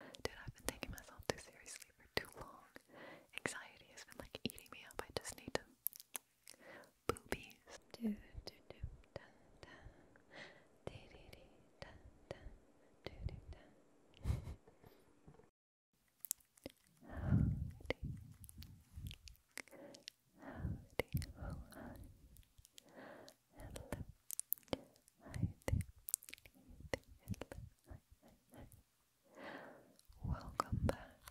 Dude, I've been taking myself too seriously for too long. Anxiety has been like eating me up. I just need to boobies. Do do do dun dun. Dee dee dee dun dun. Do do dun. Howdy. Howdy, how are you? Hello, Hi there. Hi there. Hi, hi, hi. Welcome back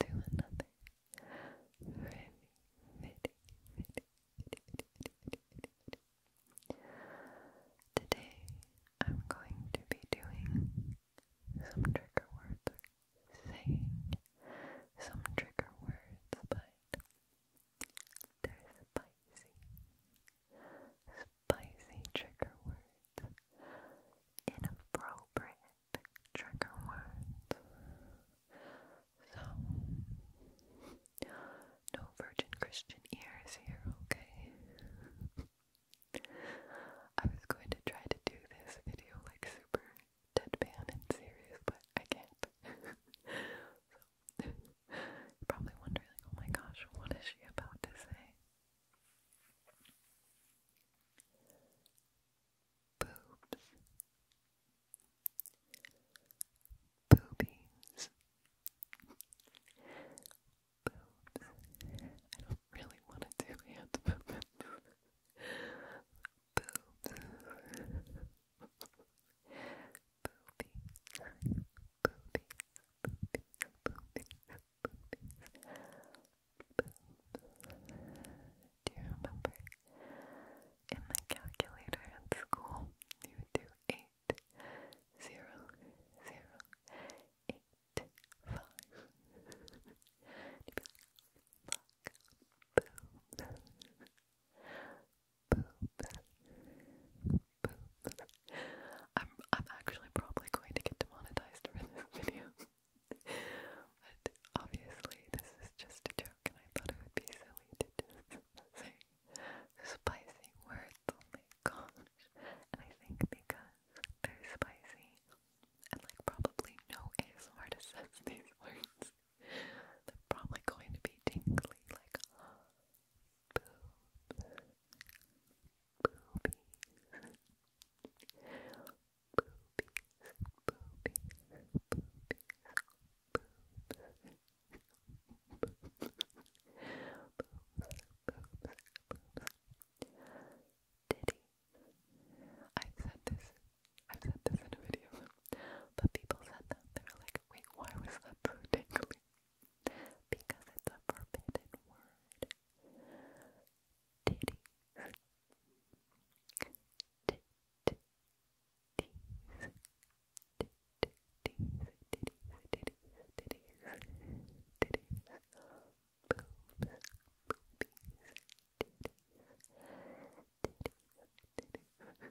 to another really, really, really, really, really, really, really. Today I'm going to be doing some trigger words, saying some trigger words, but they're spicy. Spicy trigger words. Inappropriate trigger words. So, no virgin Christian ears here, okay? I was going to try to do this video like super deadpan and serious, but I can't. You're probably wondering, oh my gosh, what is she about to say? Boobs. Boobies. Boobs. I don't really want to do hand Boobs boobies, Do you remember in my calculator at school you would do eight, zero, poop, poop. I'm I'm actually probably going to get demonetized for this video. but obviously this is just a joke and I thought it would be silly to just say spicy words. Oh my gosh. And I think because they're spicy and like probably no ASMR to says these words. They're probably going to be tingly like I've said this, I've said this in a video, but people said that, they were like, wait, why was that so dangly? because it's a forbidden word. Titties. Titties. Titties. Titties. Titties. Titties. Titties. Boobs. Boobies. Titties. Titties. Titties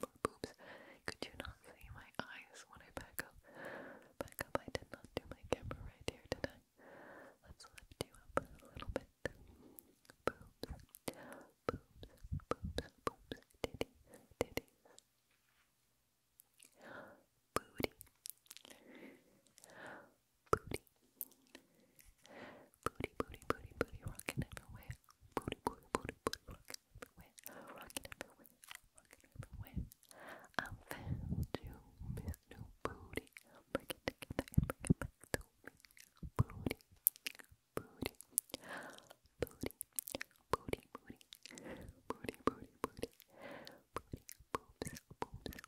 for boobs. Could you not see my eyes when I back up? Back up, I did not do my camera right here, did Let's lift you up a little bit. Boobs, boobs, boobs, boobs, titties, titties. Booty. Booty. Booty, booty, booty, booty, rockin' everywhere. Booty, booty, booty, booty, rockin' everywhere. Rockin' everywhere, rockin' everywhere. I found you, Miss New Booty. Break it together and bring it back to me. Booty, booty, booty, booty, booty, booty, booty, booty, booty, boobs, boobs, boobies,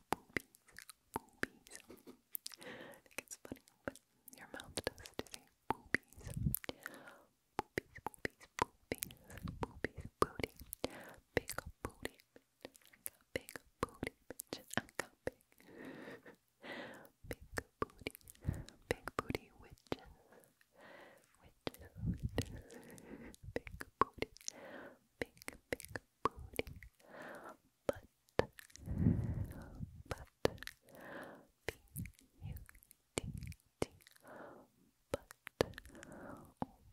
boobies. I think it's funny, but your mouth does to see boobies, boobies, boobies, boobies, boobies, booty, big booty, big booty, bitch, I got big, big booty, big booty witches, witches, big booty, big, big booty, but, but, B U D D, but, oh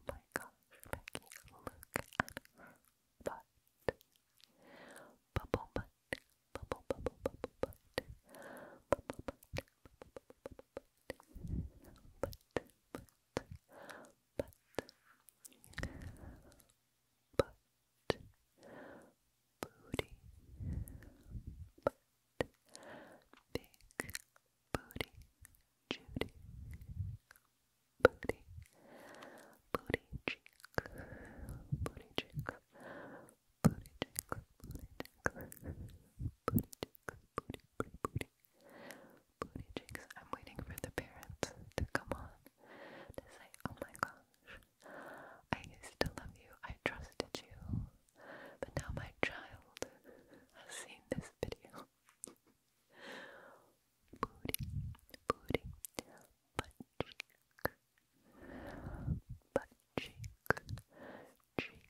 my gosh, look at her bubble butt, bubble, bubble, bubble butt, bubble butt, bubble butt, butt, butt, butt booty, but big booty, Judy, booty, booty cheek, booty cheek, booty cheek, booty cheek, booty cheek, booty, booty, booty. Booty cheeks. I'm waiting for the parents to come on to say, "Oh my God, I used to love you, I trusted you, but now my child has seen this video. booty, booty, butt cheek, butt cheek, cheek,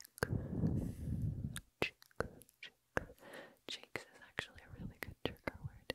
cheek, cheek. Cheeks is actually a really good trigger word.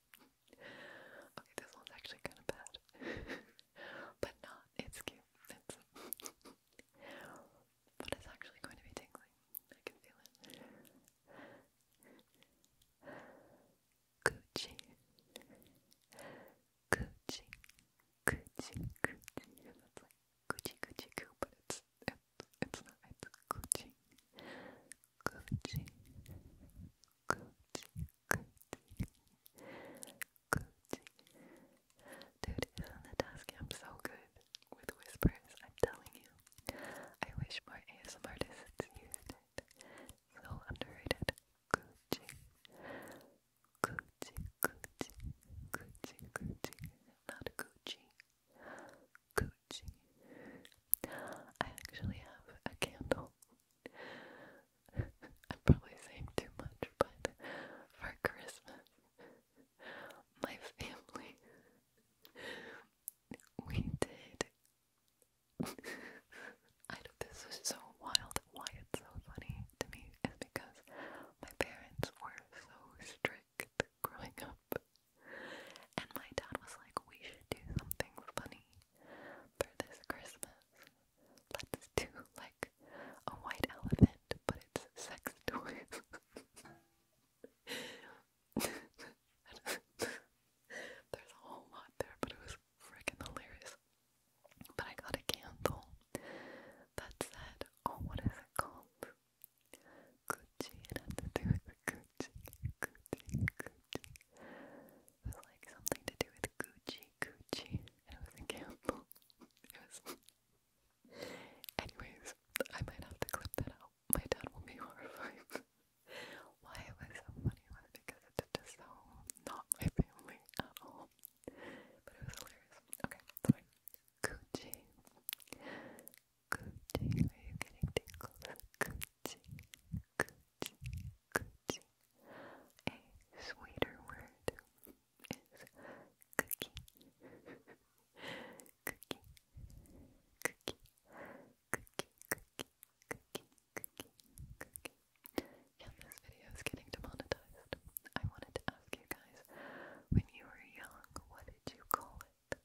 Okay, this one's actually kind of bad. but not. It's cute. It's but it's actually going to be tingling. I can feel it. Gucci. Gucci. Gucci. Gucci. That's like Gucci Gucci Goo, but it's it's it's it's Gucci. Gucci. Dude, isn't the task? i so good with whispers, I'm telling you. I wish more ASMR artists used it. So underrated. Gucci, Gucci, Gucci, Gucci, Gucci, not Gucci. Gucci, I actually have a candle. I'm probably saying too much, but for Christmas, my family, we did. I know this is so wild. Why it's so funny to me is because my parents were so strict growing up. And my dad was like, we should do something funny for this Christmas. Let's do like a white elephant, but it's sex toys. There's a whole lot there, but it was freaking hilarious. But I got a candle that said, oh, what is it called? Gucci. It had to do with Gucci, Gucci, Gucci. It was like something to do with Gucci, Gucci, and it was a Campbell. Anyways, I might have to clip that out. My dad will be horrified. Why was so funny was because it's just so not my family at all. But it was hilarious. Okay, sorry. Gucci. Gucci, are you getting tingles? Gucci. 그치, 그치, A sweeter word is cookie. cookie, cookie, cookie, cookie, cookie, cookie, cookie. Yeah, this video is getting demonetized. I wanted to ask you guys, when you were young, what did you call it?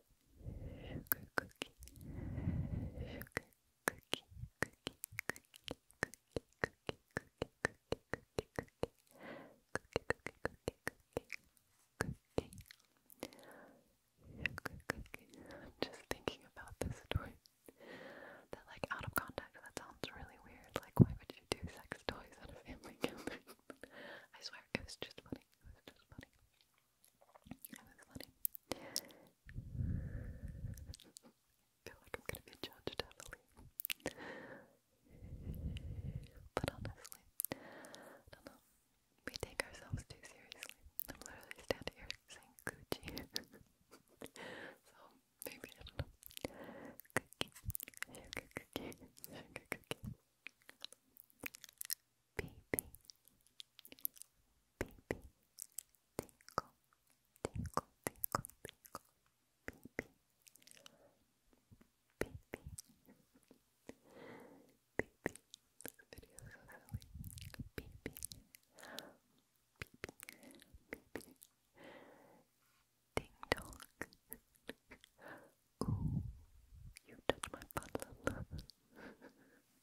sugar just thinking about this story. That like out of context, that sounds really weird. Like why would you do sex toys at a family I swear it was just funny. It was just funny. It was funny. I feel like I'm gonna be judged heavily. But honestly, I don't know. We take ourselves too seriously. I'm literally standing here saying Gucci. so maybe not baby, baby, tinkle, tinkle, tinkle, tinkle, baby, baby, baby. This video is so silly, baby, baby, baby. Ding dong. Ooh, you touch my button.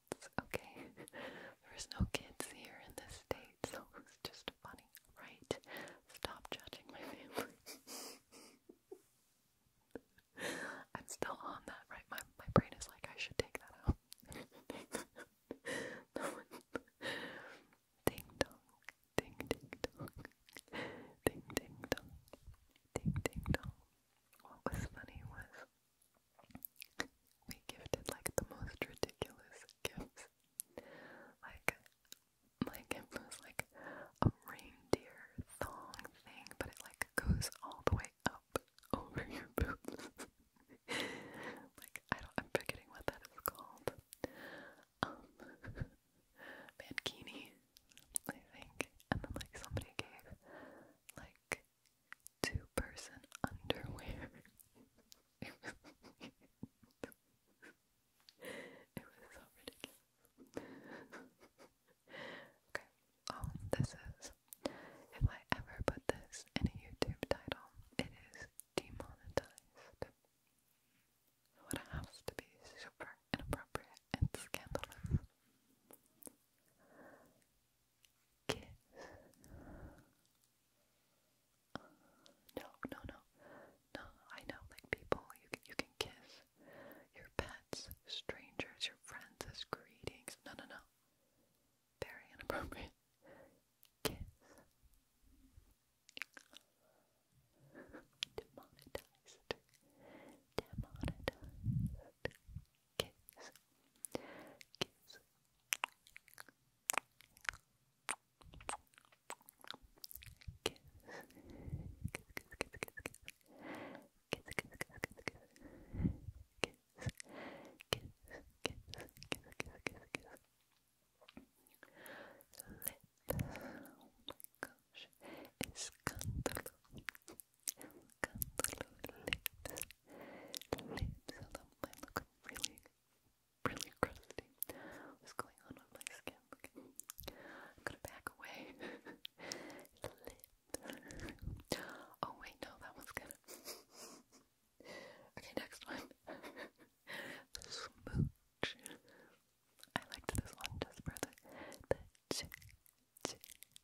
adults, okay? There's no kids here in this state, so it's just funny, right? Stop judging my family. I'm still on that, right? My my brain is like I should take that out. Ding dong, ding ding dong, ding ding dong, ding ding dong. What was funny was we gifted like the most ridiculous gifts. Like, my gift was like a reindeer thong thing, but it like goes all the way up over your boobs. like, I don't, I'm forgetting what that is called. Um, mankini, I think. And then like somebody gave like two person underwear. it was It okay. Oh, this is if I ever put this in a YouTube title, it is demonetized. it has to be super inappropriate and scandalous kiss. no, no, no, no. I know, like people, you you can kiss your pets, strangers, your friends as greetings. No, no, no. Very inappropriate. Kiss. Demonetized. Demonetized kiss, kiss. Kiss. Kiss, kiss, kiss, kiss, kiss. Kiss, kiss, kiss, kiss, kiss. Kiss, kiss, kiss, kiss, kiss, kiss, kiss. Lips. Oh my gosh. Escándalo. Look at the little lips. look really, really crusty. What's going on with my skin? I'm gonna back away. lips. Oh wait, no, that one's good. okay, next one. smooch. I liked this one just for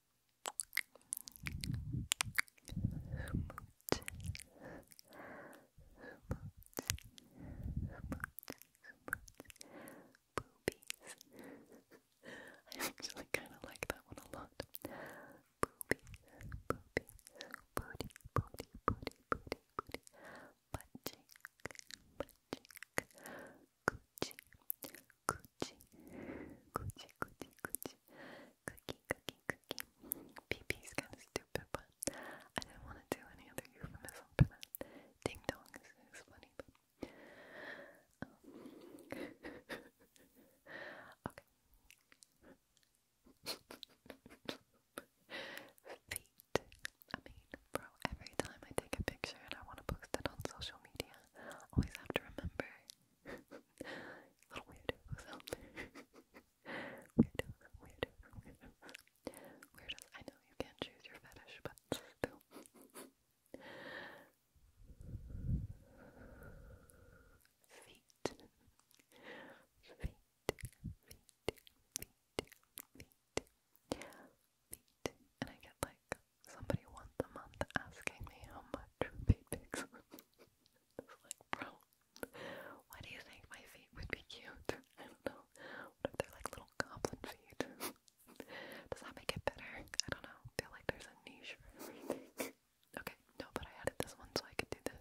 I actually kind of like that one a lot. Booby, booby, booty, booty, booty, booty, booty, butt cheek, butt cheek, coochie, 굳이 굳이 굳이 굳이 cookie cookie cookie BB's kind of stupid but I didn't want to do any other euphemism for that ding dong is, funny um, okay feet I mean bro every time I take a picture and I want to post it on social media always have to remember Little weirdos out there. weirdos, weirdos, I know you can't choose your fetish, but still. feet. Feet. Feet. Feet. Feet. Feet. And I get like Somebody once a month asking me how much feet pics. it's like, bro, why do you think my feet would be cute? I don't know. they're like little goblin feet? Does that make it better? I don't know. feel like there's a niche for everything. okay, no, but I added this one so I could do this.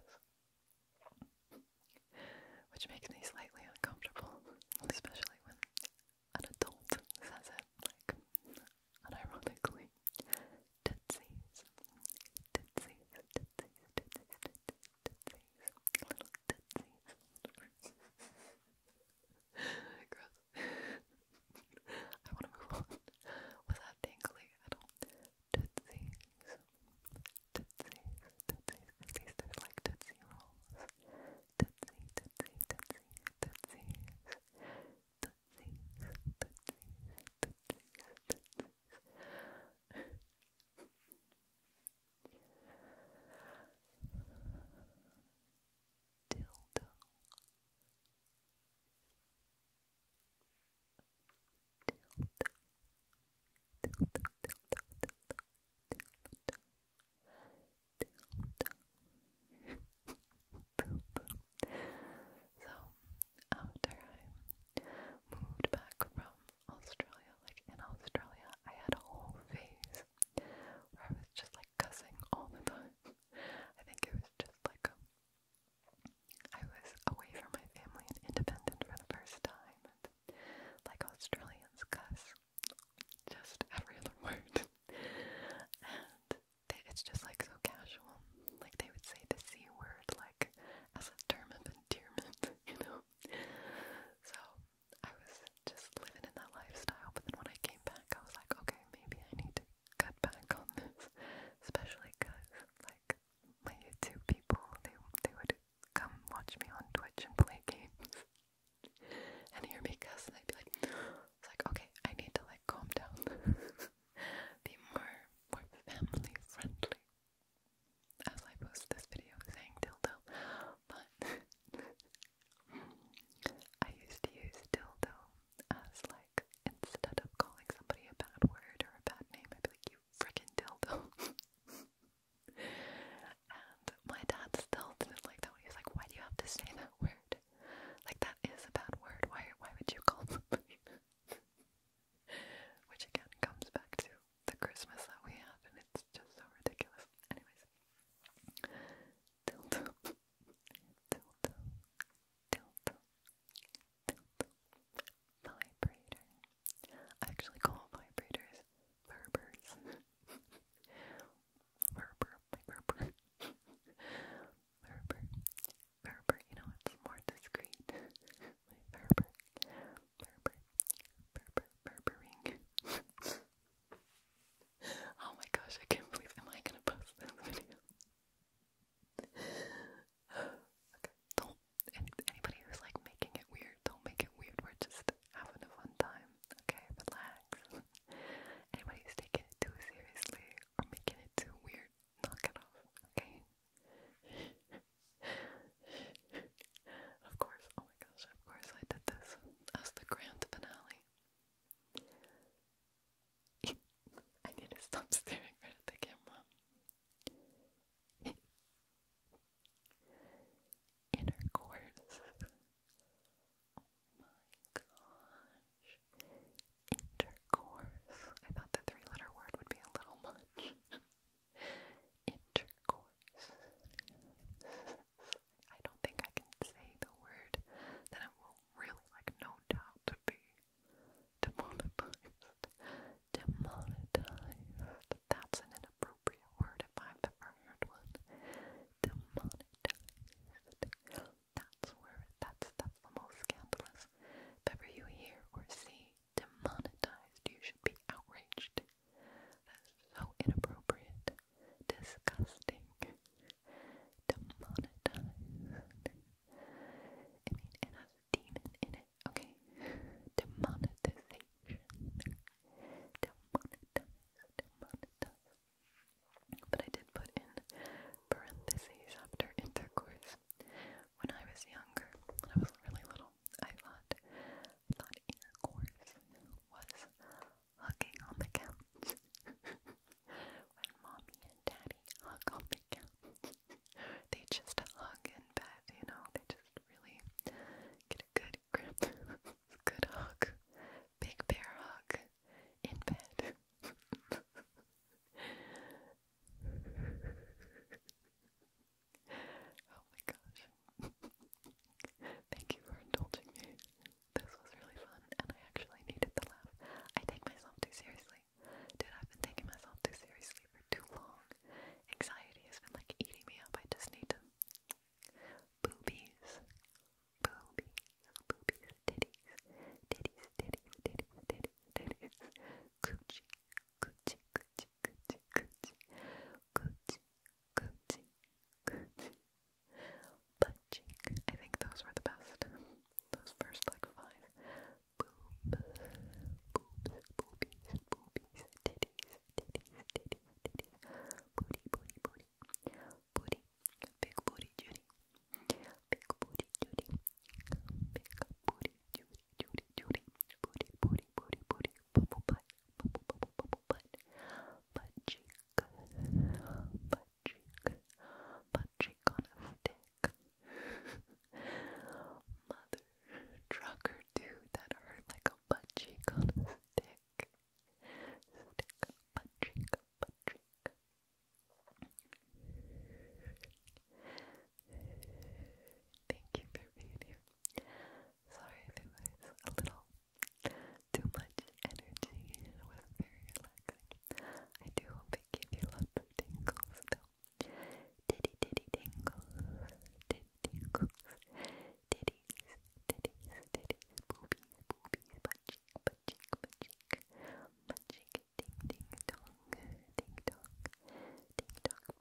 Which makes me slightly uncomfortable, especially when an adult says it, like, unironically tootsies, tootsies, tootsies, tootsies, tootsies, little tootsies. Gross. I want to move on. Was that dangly at all? Tootsies, tootsies, tootsies, tootsies. There's like tootsie rolls. Tootsie, tootsie, tootsie, tootsies. touching, touching, touching. Dildo. Dildo. Dildo, dildo, dildo, dildo, dildo. So after I moved back from Australia, like in Australia, I had a whole phase where I was just like cussing all the time. I think it was just like a, I was away from my family and independent for the first time. And, like Australians cuss just every other word. they, it's just like so casual. Like they would say the C word like as a term of endearment, you know? So I was just living in that lifestyle, but then when I came back, I was like, okay, maybe I need to cut back on this, especially because, like, my YouTube people, they, they would come watch me on Twitch and play games, and hear me cuss, and they'd be like, it's like, okay, I need to like calm down. Be more more family friendly. As I post this video saying dildo. But I used to use dildo as like instead of calling somebody a bad word or a bad name, I'd be like, you frickin' dildo. and my dad still didn't like that He was like, why do you have to say that word? Like that is a bad word. Why why would you call Which again comes back to the Christmas that we have and it's just so ridiculous. Anyways. Dildo. Dildo. Dildo. Dildo. Vibrator. I actually call vibrators verbers. Verber, verber. Ferber, Ferber, you know, it's more discreet. My Ferber, Ferber, Ferber, oh my gosh, I can't believe, am I gonna post this video? okay, don't, anybody who's like making it weird, don't make it weird, we're just having a fun time, okay? Relax. Anybody's taking it too seriously or making it too weird, knock it off, okay? of course, oh my gosh, of course I did this as the grand finale. I need to stop staring right at the camera. Intercourse. Oh my gosh. Intercourse. I thought the three letter word would be a little much. Intercourse. I don't think I can say the word that it will really, like, no doubt to be demonetized. Demonetized. That's an inappropriate word if I've ever heard one. Demonetized. That's where that's that's the most scandalous. If ever you hear or see demonetized, you should be outraged. That's so inappropriate. Disgusting. Demonetized. I mean it has a demon in it. Okay. Demonetization. Demonetized. Demonetized. But I did put in parentheses after intercourse. When I was younger, when I was really little, I thought thought intercourse was hugging on the couch. when mommy and daddy hug on the couch. they just hug in bed, you know, they just really get a good grip. good hug. Big bear hug in bed. oh my gosh. Thank you for indulging me. This was really fun and I actually needed the laugh. I take myself too seriously. Dude, I've been taking myself too seriously for too long. Anxiety has been like eating me up. I just need to boobies boobies, boobies, titties, titties, titties, titties, titties, coochie, coochie, coochie, coochie, coochie, coochie, coochie, coochie, butt I think those were the best. Those first like five. Boobs, boobs, boobies, boobies, titties, titties, titties, titties, booty, booty, booty, booty, big booty Judy, big booty Judy, big booty Judy, Judy, Judy, booty, booty, booty, booty, bubble butt, bubble, bubble, bubble butt, butt cheek, butt cheek, butt cheek on a stick. Mother trucker dude that hurt like a butt cheek on a stick. Stick punching, punching. Thank you for being here. Sorry if it was a little too much energy was very relaxing. I do hope it gave you lots of tingles though. Diddy diddy tingles, diddy tingles, diddies, diddies, diddies, boobies, boobies, punching, punching magic, magic, magic, ding ding dong, ding dong, ding dong, beep beep, beep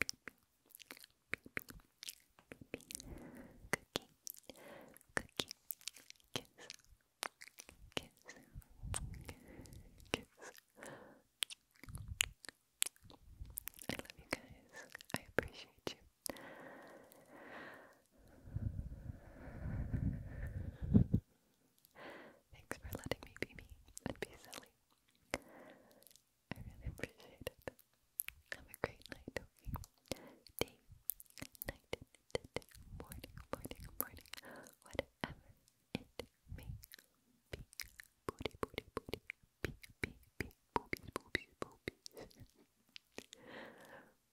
beep, beep beep, cookie, cookie, kiss, kiss, kiss. I love you guys. I appreciate you. Thanks for letting me be me and be silly. I really appreciate it. Have a great night, okay? Day, night, morning, morning, morning, whatever it may be. Booty, booty, booty, bee, bee, bee, boobies, boobies, boobies.